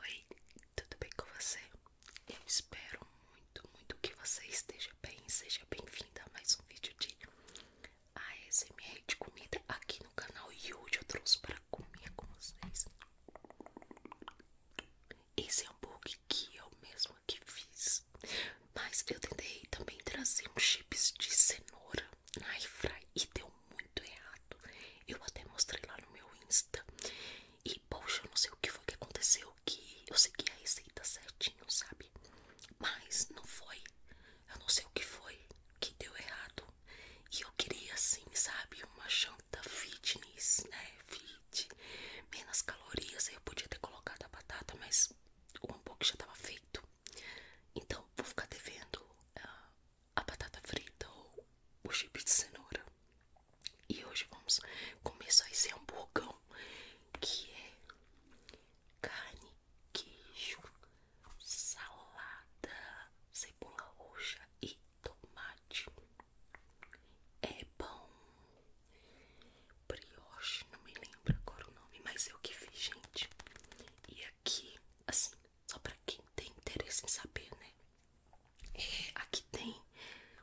Oi, tudo bem com você? Eu espero muito, muito que você esteja bem. Seja bem-vinda a mais um vídeo de ASMR de comida aqui no canal. E hoje eu trouxe para comer com vocês esse hambúrguer que eu mesma que fiz. Mas eu tentei também trazer uns chips de cenoura na e deu muito errado. Eu até mostrei lá no meu Insta. E poxa, eu não sei o que foi que aconteceu. Que eu segui a receita certinho, sabe? Mas não foi. Eu não sei o que foi que deu errado. E eu queria, assim, sabe? Uma janta fitness, né? Fit, menos calorias. Eu podia ter colocado a batata, mas o hambúrguer já tava feito. Então, vou ficar devendo uh, a batata frita ou o chip de cenoura. E hoje vamos começar esse hamburgão que é carne, queijo, salada, cebola roxa e tomate. É pão brioche, não me lembro agora o nome, mas eu é que fiz, gente. E aqui, assim, só para quem tem interesse em saber, né? aqui tem.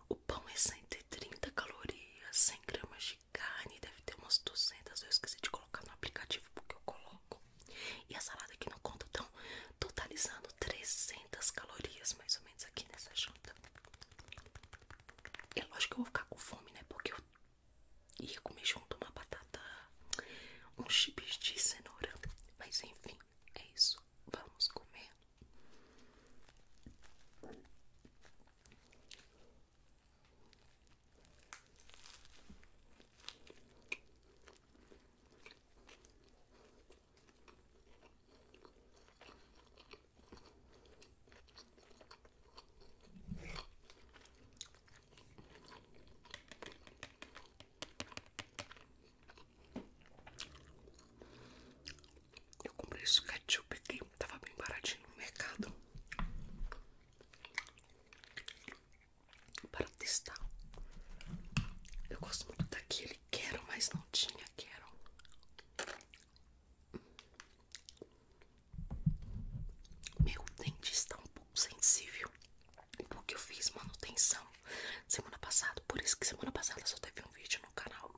O pão é 130 calorias, 100 gramas de carne, deve ter umas 200. Eu esqueci de colocar no aplicativo porque eu coloco. E a salada aqui não conta, então, totalizando 300 calorias mais ou menos aqui nessa janta. É lógico que eu vou ficar com fome, né? Porque eu ia comer junto uma batata, uns chips de cenoura. Mas enfim, é isso. Vamos comer. Eu comprei esse ketchup aqui, tava bem baratinho no mercado para testar. Eu gosto muito daquele quero, mas não tinha quero. Meu dente está é um pouco sensível porque eu fiz manutenção semana passada. Por isso que semana passada só teve um vídeo no canal.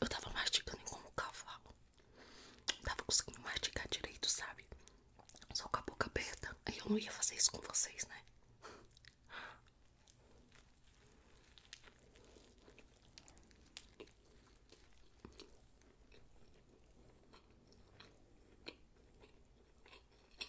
Eu tava mastigando como um cavalo. Não tava conseguindo mastigar direito, sabe? Só com a boca aberta. aí eu não ia fazer isso com vocês, né?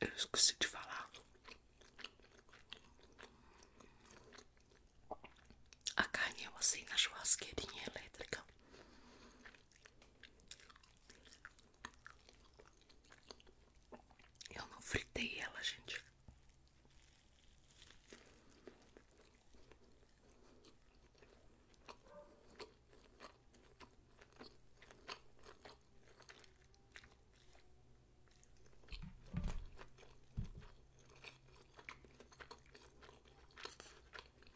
Eu esqueci de falar. A carne eu é assei na churrasqueirinha elétrica. Eu não fritei ela, gente.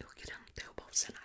Eu querendo derrubar o cenário.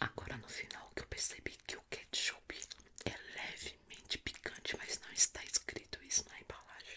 Agora no final que eu percebi que o ketchup é levemente picante, mas não está escrito isso na embalagem.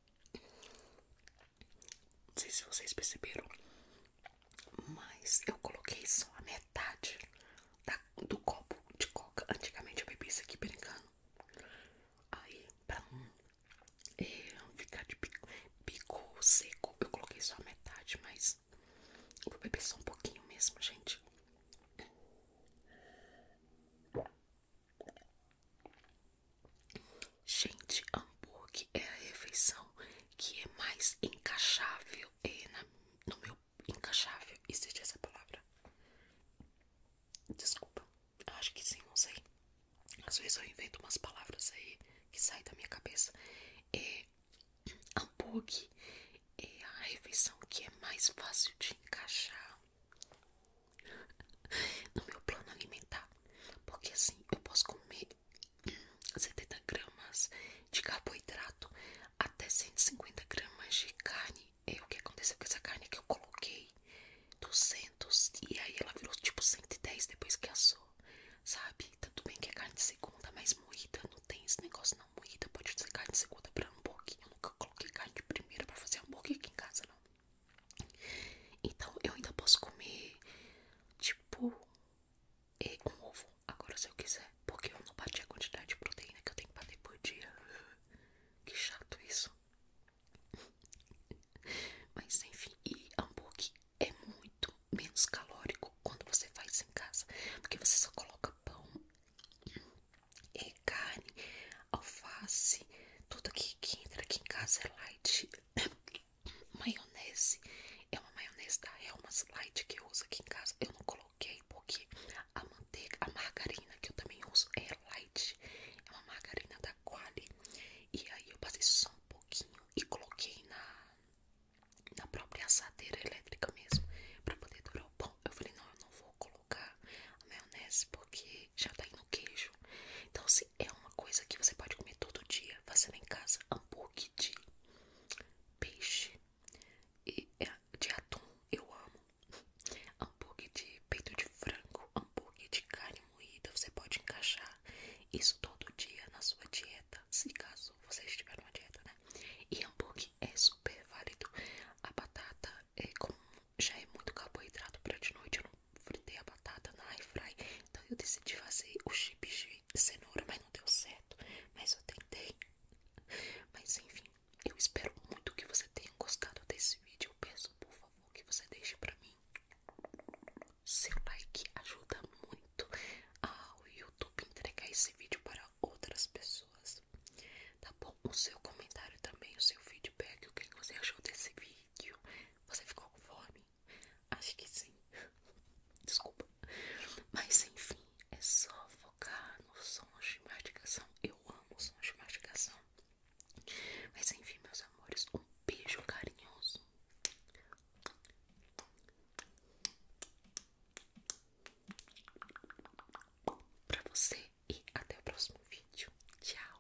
Não sei se vocês perceberam, mas eu coloquei só a metade da, do copo de coca. Antigamente eu bebi isso aqui brincando. Aí, pra não é, ficar de bico, bico seco, eu coloquei só a metade, mas eu vou beber só um pouquinho mesmo, gente. Gente, hambúrguer é a refeição que é mais encaixável é na, no meu encaixável. Existe essa palavra? Desculpa, acho que sim, não sei. Às vezes eu invento umas palavras aí que saem da minha cabeça. É, hambúrguer é a refeição que é mais fácil de encaixar no meu plano alimentar, porque assim eu posso comer 70 hum, gramas de carboidrato até 150 gramas de carne. E é o que aconteceu com essa carne que eu coloquei 200 e aí ela virou tipo 110 depois que assou, sabe? Tanto bem que é carne de segunda, mas moída não tem esse negócio não moída, pode ser carne de segunda para hambúrguer. Eu nunca coloquei carne de primeira para fazer hambúrguer aqui em casa não. Então eu ainda posso comer, tipo, um ovo agora se eu quiser. Porque eu não bati a quantidade de proteína que eu tenho para ter por dia. Que chato isso. Mas enfim, e hambúrguer é muito menos calórico quando você faz em casa. Porque você só coloca pão, hum, carne, alface, tudo aqui que entra aqui em casa é light. maionese. É uma maionese da Helmas Light que eu uso aqui em casa. Eu não coloquei porque a manteiga, a margarina que eu também uso é light. É uma margarina da Quali. E aí eu passei só um pouquinho e coloquei na, na própria assadeira elétrica mesmo. Pra poder durar o pão. Eu falei, não, eu não vou colocar a maionese porque já tá aí no queijo. Então, se assim, é uma coisa que você pode comer todo dia, fazendo em casa hambúrguer de peixe e é, de atum, eu amo. Hambúrguer de peito de frango, hambúrguer de carne moída, você pode encaixar isso todo dia na sua dieta, se caso vocês tiverem uma dieta, né? E hambúrguer é super válido. A batata é como já é muito carboidrato para de noite, eu não fritei a batata na air fry, então eu decidi fazer o chips de cenoura, mas não deu certo, mas eu tentei. Mas enfim, eu espero muito que você tenha gostado desse vídeo, eu peço por favor que você deixe para mim seu like, ajuda muito ao YouTube entregar esse vídeo para outras pessoas, tá bom? O seu comentário também, o seu feedback, o que você achou desse vídeo. Você ficou com fome? Acho que sim. Desculpa. Mas enfim, é só focar no sons de mastigação. Eu amo sons de mastigação. Mas enfim, meus amores, um beijo carinhoso. Pra você e até o próximo vídeo. Tchau.